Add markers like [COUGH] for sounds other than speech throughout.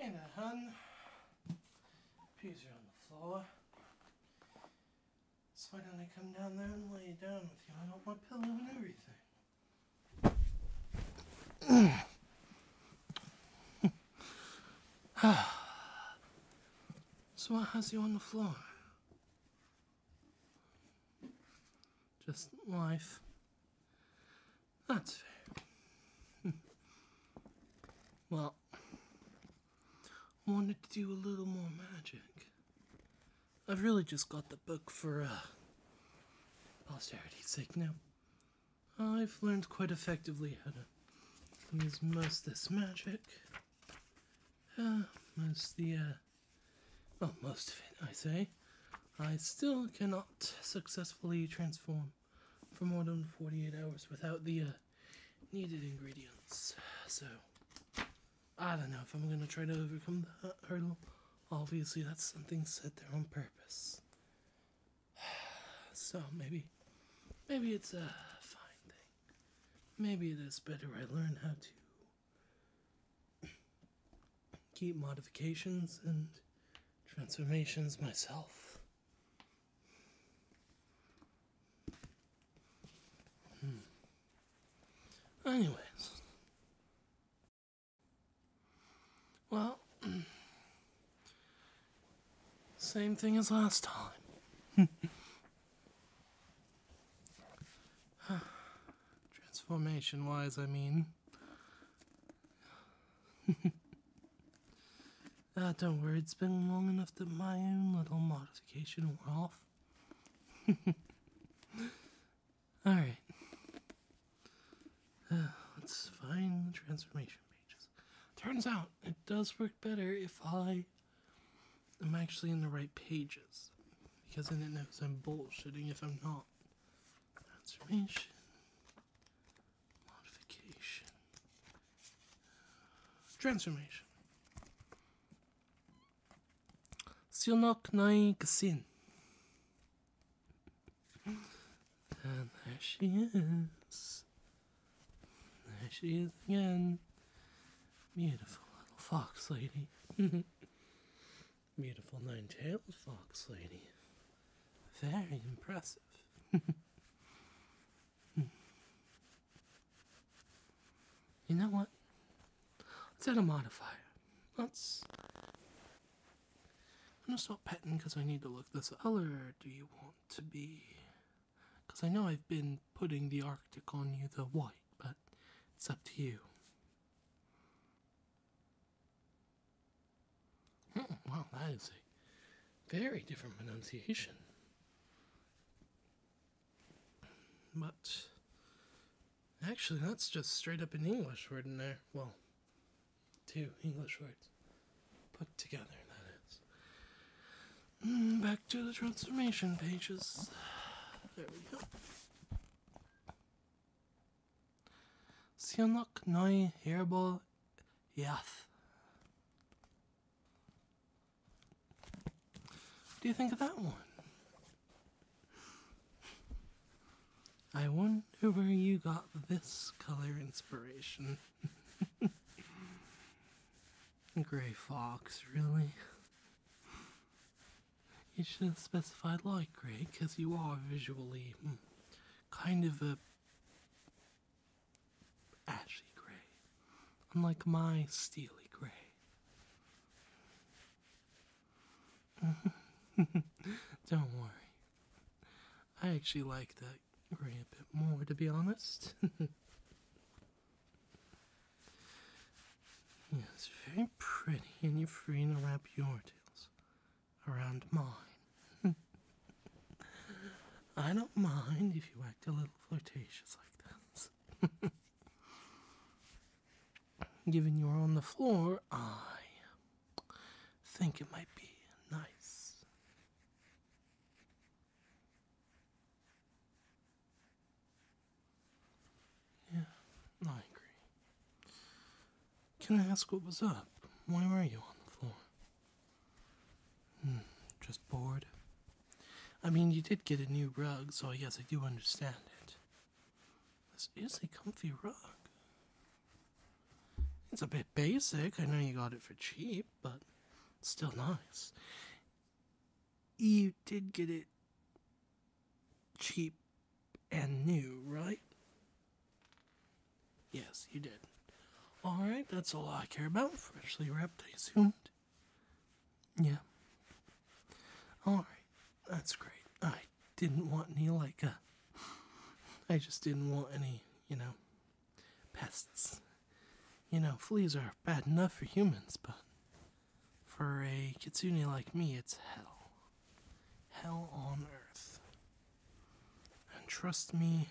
And a hun. Peas are on the floor. So why don't I come down there and lay down with you? I want my pillow and everything. [COUGHS] so why has you on the floor? just life. That's fair. [LAUGHS] well, wanted to do a little more magic. I've really just got the book for uh, posterity's sake now. I've learned quite effectively how to use most this magic. Uh, most the uh, well, most of it, I say. I still cannot successfully transform for more than 48 hours without the uh, needed ingredients. So, I don't know if I'm going to try to overcome that hurdle. Obviously, that's something set there on purpose. [SIGHS] So, maybe, maybe it's a fine thing. Maybe it is better I learn how to keep modifications and transformations myself. Hmm. Anyways. Well, same thing as last time. [SIGHS] Transformation wise, I mean. [LAUGHS] ah, don't worry, it's been long enough that my own little modification wore off. [LAUGHS] Alright. Uh, let's find the transformation pages. Turns out it does work better if I am actually in the right pages. Because then it knows I'm bullshitting if I'm not transformation, modification, transformation. Silnok Nai Kasin. And there she is. There she is again. Beautiful little fox lady. [LAUGHS] Beautiful nine-tailed fox lady. Very impressive. [LAUGHS] you know what? Let's add a modifier. Let's... I'm gonna stop petting because I need to look this other. do you want to be? Because I know I've been putting the Arctic on you, the white, but it's up to you. Oh, hmm, wow, that is a very different pronunciation. But actually, that's just straight up an English word in there. Well, two English words put together, that is. Hmm, back to the transformation pages. There we go. Sianok Noi Herbal Yath. What do you think of that one? I wonder where you got this color inspiration. [LAUGHS] Gray fox, really? You should not specify light gray because you are visually hmm, kind of a ashy gray, unlike my steely gray. [LAUGHS] Don't worry. I actually like that gray a bit more, to be honest. [LAUGHS] yes, very pretty and you're free to wrap your tails around mine. [LAUGHS] I don't mind if you act a little flirtatious like this. [LAUGHS] Given you're on the floor, I think it might be nice. Yeah, I agree. Can I ask what was up? Why were you on the floor? Hmm, just bored. I mean, you did get a new rug, so yes, I do understand it. This is a comfy rug. It's a bit basic. I know you got it for cheap, but still nice. You did get it cheap and new, right? Yes, you did. Alright, that's all I care about. Freshly wrapped, I assumed. Yeah. Alright, that's great. I didn't want any, like, uh, I just didn't want any, you know, pests. You know, fleas are bad enough for humans, but for a kitsune like me, it's hell hell on earth. And trust me,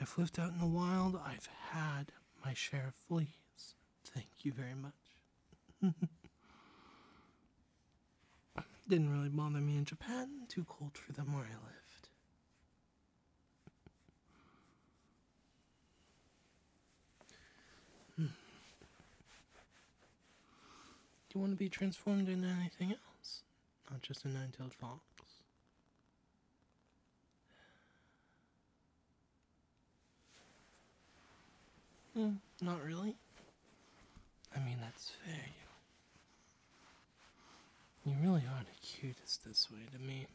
I've lived out in the wild, I've had my share of fleas. Thank you very much. [LAUGHS] Didn't really bother me in Japan, too cold for them where I lived. Do hmm. you want to be transformed into anything else? Not just a nine tailed fox? Mm, not really. I mean, that's fair. You really are the cutest this way to me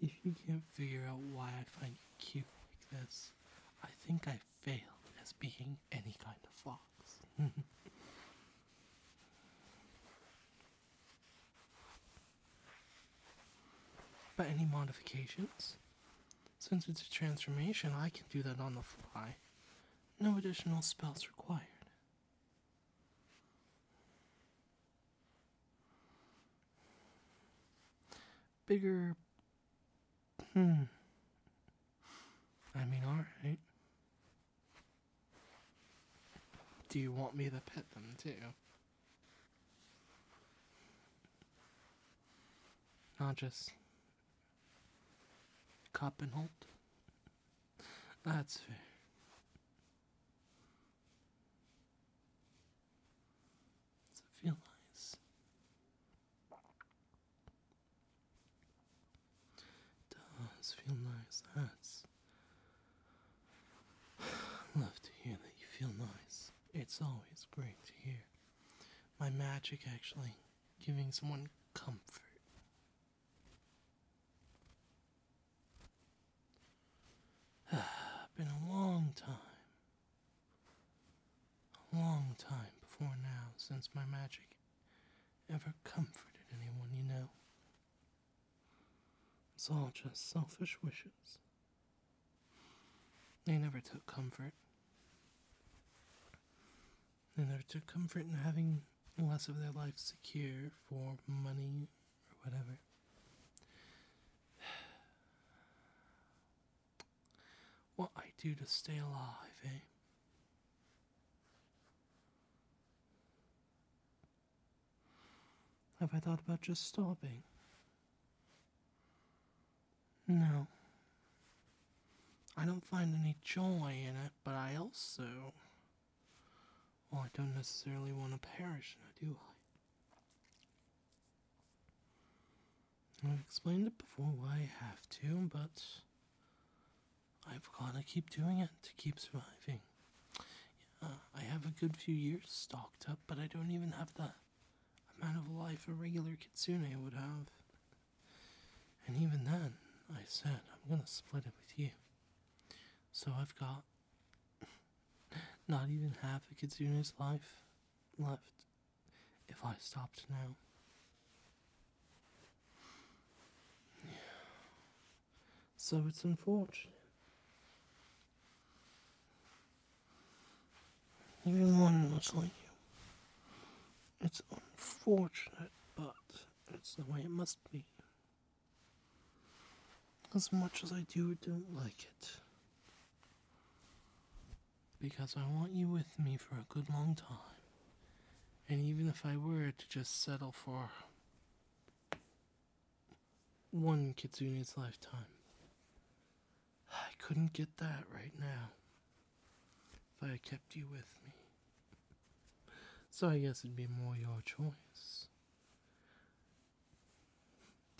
if you can't figure out why I find you cute like this, I think I fail as being any kind of fox. [LAUGHS] but any modifications? Since it's a transformation, I can do that on the fly. No additional spells required bigger. Hmm. I mean, alright. Do you want me to pet them too? Not just. Coppenholt? That's fair. Does feel nice? does feel nice. That's [SIGHS] love to hear that you feel nice. It's always great to hear. My magic actually giving someone comfort. [SIGHS] Been a long time a long time before now since my magic ever comforted anyone, you know. It's all just selfish wishes. They never took comfort. They never took comfort in having less of their life secure for money or whatever. [SIGHS] what I do to stay alive, eh? Have I thought about just stopping? No. I don't find any joy in it, but I also. Well, I don't necessarily want to perish, now do I? I've explained it before why I have to, but I've got to keep doing it to keep surviving. I have a good few years stocked up, but I don't even have the amount of life a regular kitsune would have. And even then, I said I'm going to split it with you. So I've got [LAUGHS] not even half a kitsune's life left if I stopped now. So it's unfortunate. Even one much like you. It's unfortunate, but it's the way it must be. As much as I do don't like it, because I want you with me for a good long time. And even if I were to just settle for one Kitsune's lifetime, I couldn't get that right now if I kept you with me. So I guess it'd be more your choice.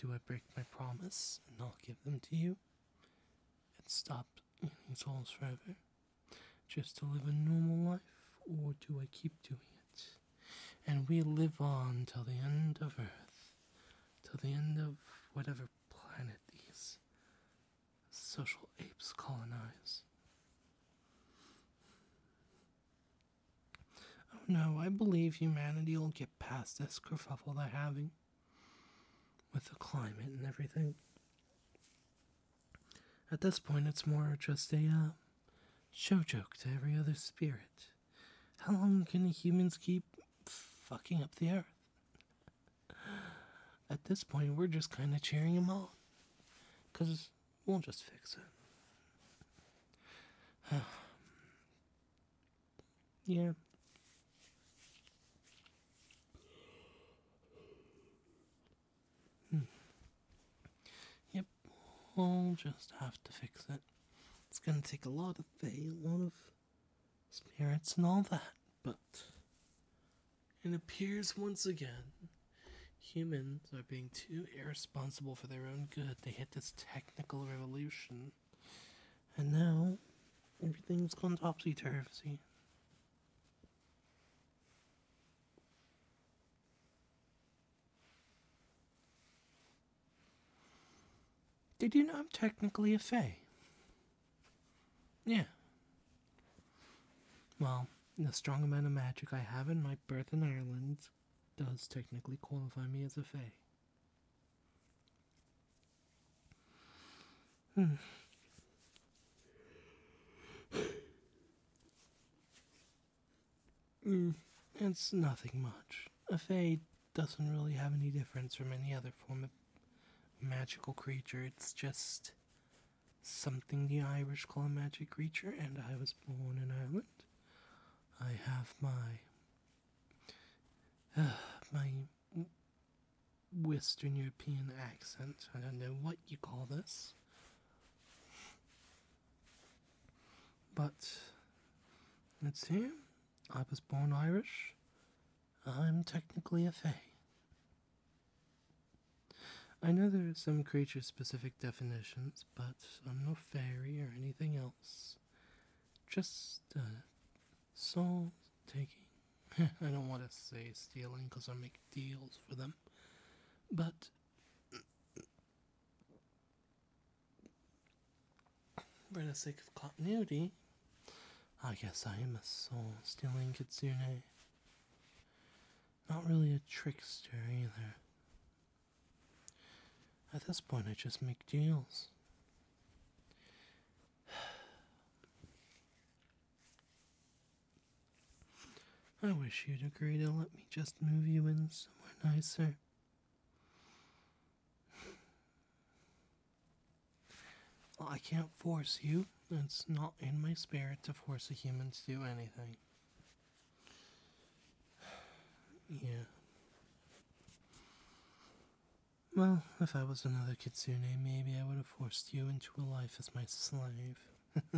Do I break my promise and I'll give them to you? And stop eating souls forever? Just to live a normal life? Or do I keep doing it? And we live on till the end of Earth, till the end of whatever planet these social apes colonize. Oh no, I believe humanity will get past this kerfuffle they're having with the climate and everything. At this point, it's more just a uh, show joke to every other spirit. How long can humans keep fucking up the earth? At this point, we're just kind of cheering them on. Because we'll just fix it. [SIGHS] [SIGHS] Yeah. Hmm. Yep, I'll just have to fix it. It's gonna take a lot of faith, a lot of spirits, and all that, but it appears once again humans are being too irresponsible for their own good. They hit this technical revolution and now everything's gone topsy turvy. Did you know I'm technically a Fae? Yeah. Well, the strong amount of magic I have in my birth in Ireland does technically qualify me as a Fae. Hmm. it's nothing much. A fae doesn't really have any difference from any other form of magical creature. It's just something the Irish call a magic creature, and I was born in Ireland. I have my [SIGHS] my Western European accent. I don't know what you call this. But let's see. I was born Irish. I'm technically a fae. I know there are some creature specific definitions, but I'm no fairy or anything else just uh, soul taking. [LAUGHS] I don't want to say stealing because I make deals for them, but for the sake of continuity, I guess I am a soul stealing kitsune. Not really a trickster either. At this point, I just make deals. [SIGHS] I wish you'd agree to let me just move you in somewhere nicer. [SIGHS] I can't force you. It's not in my spirit to force a human to do anything yeah. Well, if I was another kitsune, maybe I would have forced you into a life as my slave. [LAUGHS]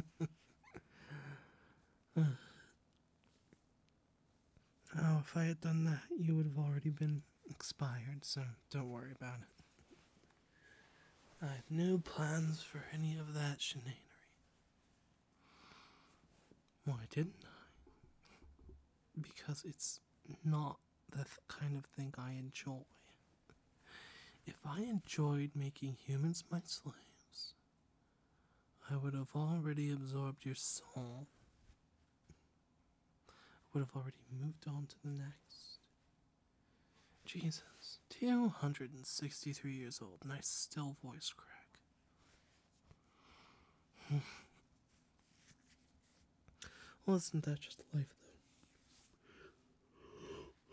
oh, if I had done that, you would have already been expired, so don't worry about it. I have no plans for any of that shenanery. Why didn't I? because it's not the kind of thing I enjoy. If I enjoyed making humans my slaves, I would have already absorbed your soul. I would have already moved on to the next. Jesus, 263 years old, Nice, still voice crack. [LAUGHS] Well, isn't that just life,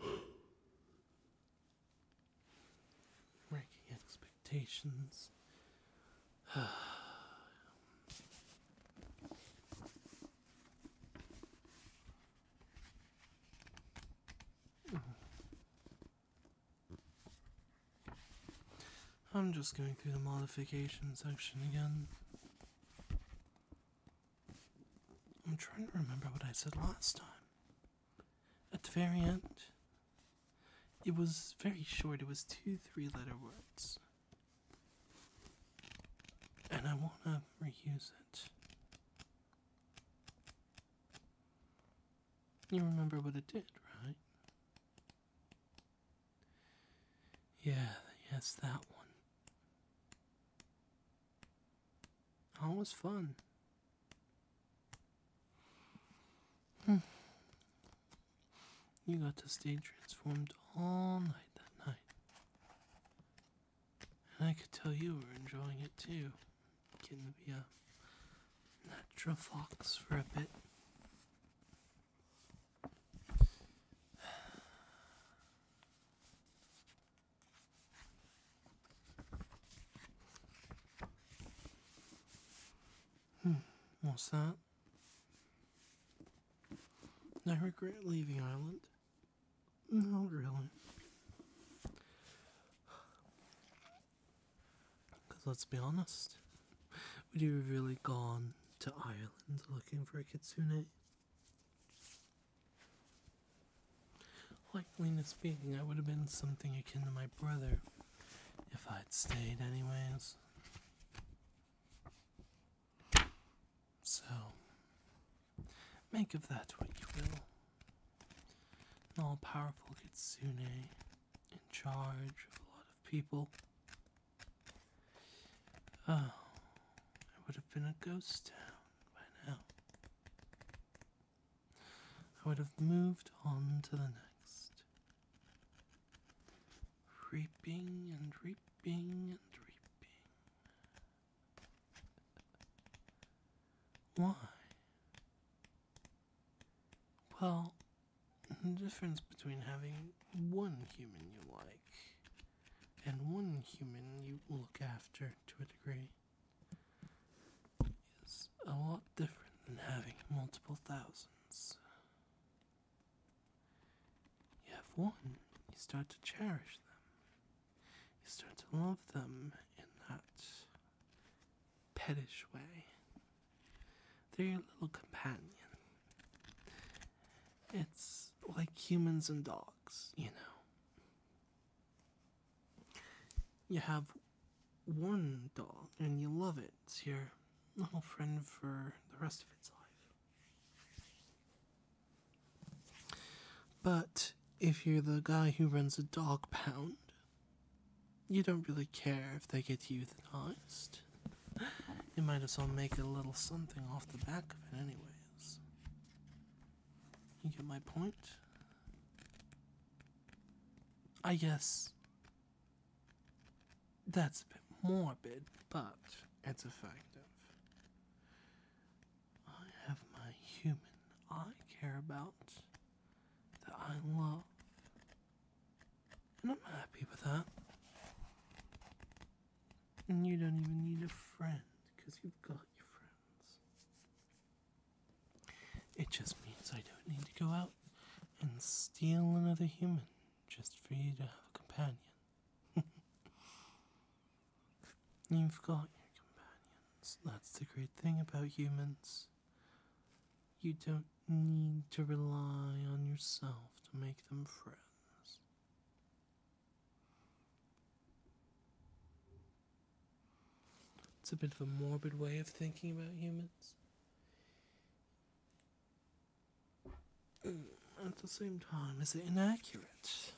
though? Ranking expectations. [SIGHS] Hmm. I'm just going through the modification section again. I'm trying to remember what I said last time. At the very end, it was very short, it was two three letter words. And I want to reuse it. You remember what it did, right? Yeah, yes, that one. Always fun. Hmm. You got to stay transformed all night that night. And I could tell you were enjoying it too. Getting to be a natural fox for a bit. Hmm, what's that? I regret leaving Ireland. Not really. Because let's be honest, would you have really gone to Ireland looking for a kitsune? Likely speaking, I would have been something akin to my brother if I'd stayed, anyways. So, make of that what you will. An all powerful kitsune in charge of a lot of people. Oh, it would have been a ghost town by now. I would have moved on to the next. Reaping and reaping and reaping. Why? Well, the difference between having one human you like and one human you look after to a degree is a lot different than having multiple thousands. You have one, you start to cherish them, you start to love them, and that's pettish way. They're your little companion. It's like humans and dogs, you know. You have one dog and you love it. It's your little friend for the rest of its life. But if you're the guy who runs a dog pound, you don't really care if they get euthanized. You might as well make a little something off the back of it, anyways. You get my point? I guess that's a bit morbid, but it's effective. I have my human I care about that I love and I'm happy with that. And you don't even need a friend because you've got your friends. It just means I don't need to go out and steal another human just for you to have a companion. [LAUGHS] you've got your companions. That's the great thing about humans. You don't need to rely on yourself to make them friends. It's a bit of a morbid way of thinking about humans. Mm, at the same time, is it inaccurate?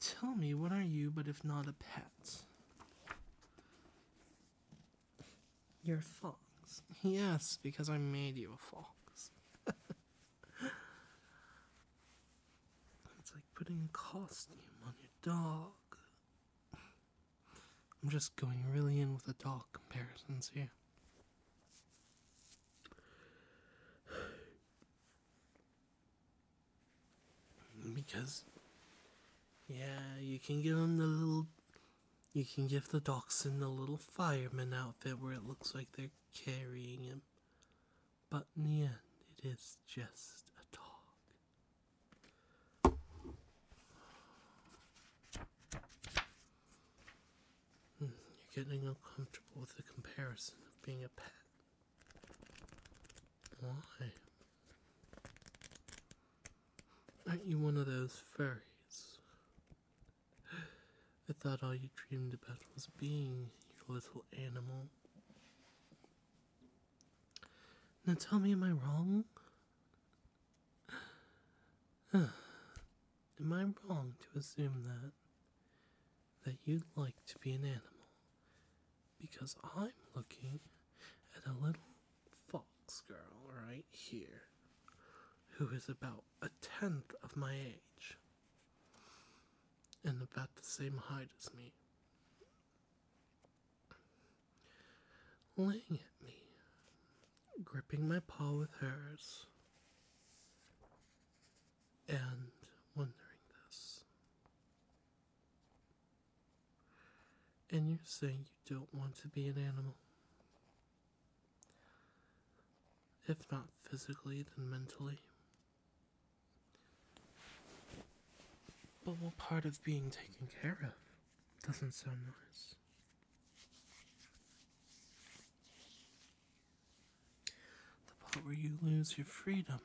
Tell me, what are you but if not a pet? You're a fox. Yes, because I made you a fox. it's like putting a costume on your dog. I'm just going really in with the dog comparisons here. Because, yeah, you can give them the little you can give the dachshund a little fireman outfit where it looks like they're carrying him. But in the end, it is just a dog. Hmm, you're getting uncomfortable with the comparison of being a pet. Why? Aren't you one of those fairies? I thought all you dreamed about was being, your little animal. Now tell me, am I wrong? [SIGHS] am I wrong to assume that? That you'd like to be an animal? Because I'm looking at a little fox girl right here who is about a tenth of my age and about the same height as me. Laying at me, gripping my paw with hers, and wondering this. And you're saying you don't want to be an animal. If not physically, then mentally. But what part of being taken care of doesn't sound nice? The part where you lose your freedom.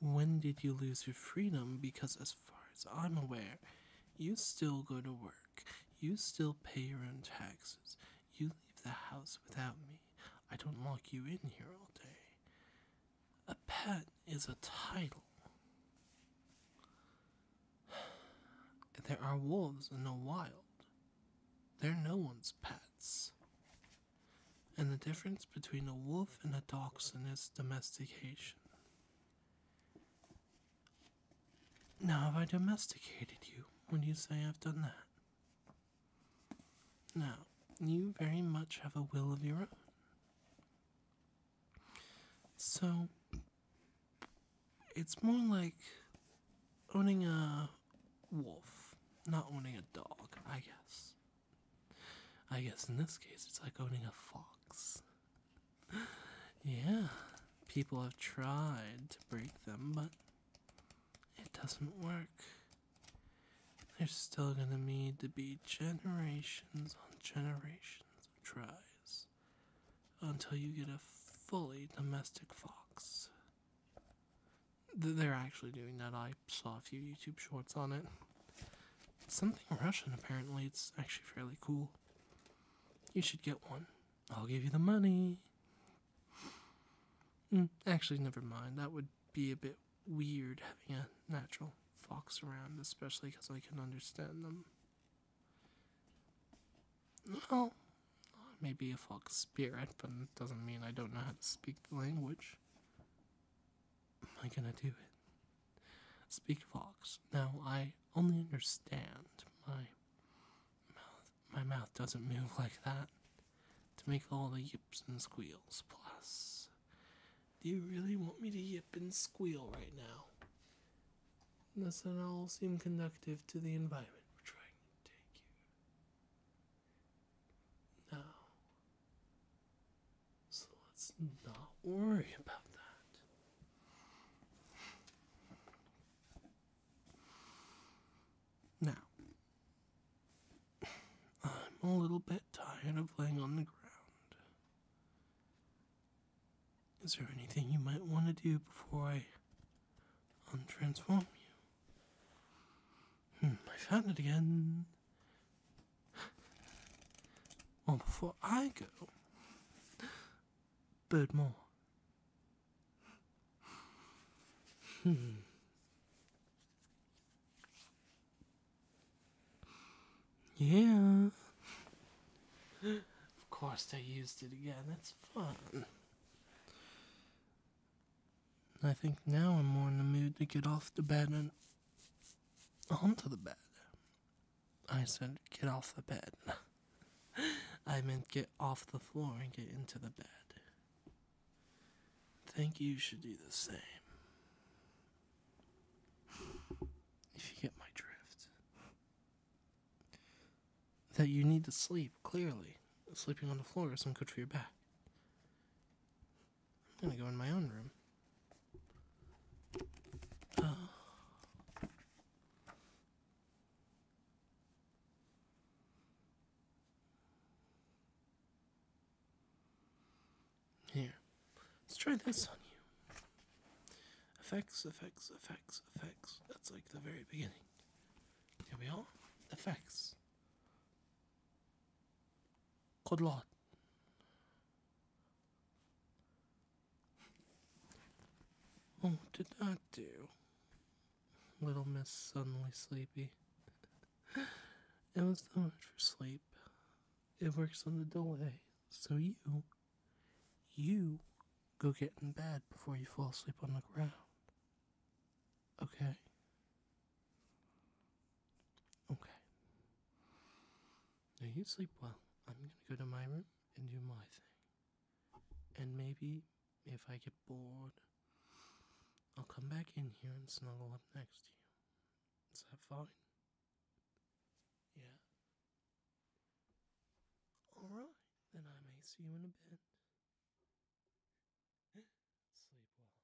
When did you lose your freedom? Because, as far as I'm aware, you still go to work, you still pay your own taxes, you leave the house without me. I don't lock you in here all day. A pet is a title. There are wolves in the wild. They're no one's pets. And the difference between a wolf and a dachshund is domestication. Now, have I domesticated you? Would you say I've done that? Now, you very much have a will of your own. So, it's more like owning a wolf, not owning a dog, I guess. I guess in this case, it's like owning a fox. Yeah, people have tried to break them, but it doesn't work. There's still gonna need to be generations on generations of tries until you get a fully domestic fox. They're actually doing that. I saw a few YouTube shorts on it something Russian, apparently. It's actually fairly cool. You should get one. I'll give you the money. Mm, actually, never mind. That would be a bit weird having a natural fox around, especially because I can understand them. No, maybe a fox spirit, but it doesn't mean I don't know how to speak the language am I gonna do it? Speak Fox. No, I only understand my mouth. My mouth doesn't move [LAUGHS] like that to make all the yips and squeals. Plus, do you really want me to yip and squeal right now? This and all seem conductive to the environment we're trying to take you? No. So let's not worry about that. Now, I'm a little bit tired of laying on the ground. Is there anything you might want to do before I untransform you? Hmm, I found it again. Well, oh, before I go, Birdmore. Hmm. Yeah. Of course they used it again. That's fun. I think now I'm more in the mood to get off the bed and onto the bed. I said, Get off the bed. [LAUGHS] I meant get off the floor and get into the bed. Think you should do the same. If you get my drift, that you need to sleep, clearly. Sleeping on the floor isn't good for your back. I'm gonna go in my own room. Oh. Here, let's try this on you. Effects, effects, effects, effects. That's like the very beginning. Here we are. Effects. Good lord. Oh, what did that do? Little Miss suddenly sleepy. it was too much for sleep. It works on the delay, so you, you go get in bed before you fall asleep on the ground. Okay? Okay. Now you sleep well. I'm gonna go to my room and do my thing. And maybe if I get bored, I'll come back in here and snuggle up next to you. Is that fine? Yeah. Alright, then I may see you in a bit. [GASPS] Sleep well.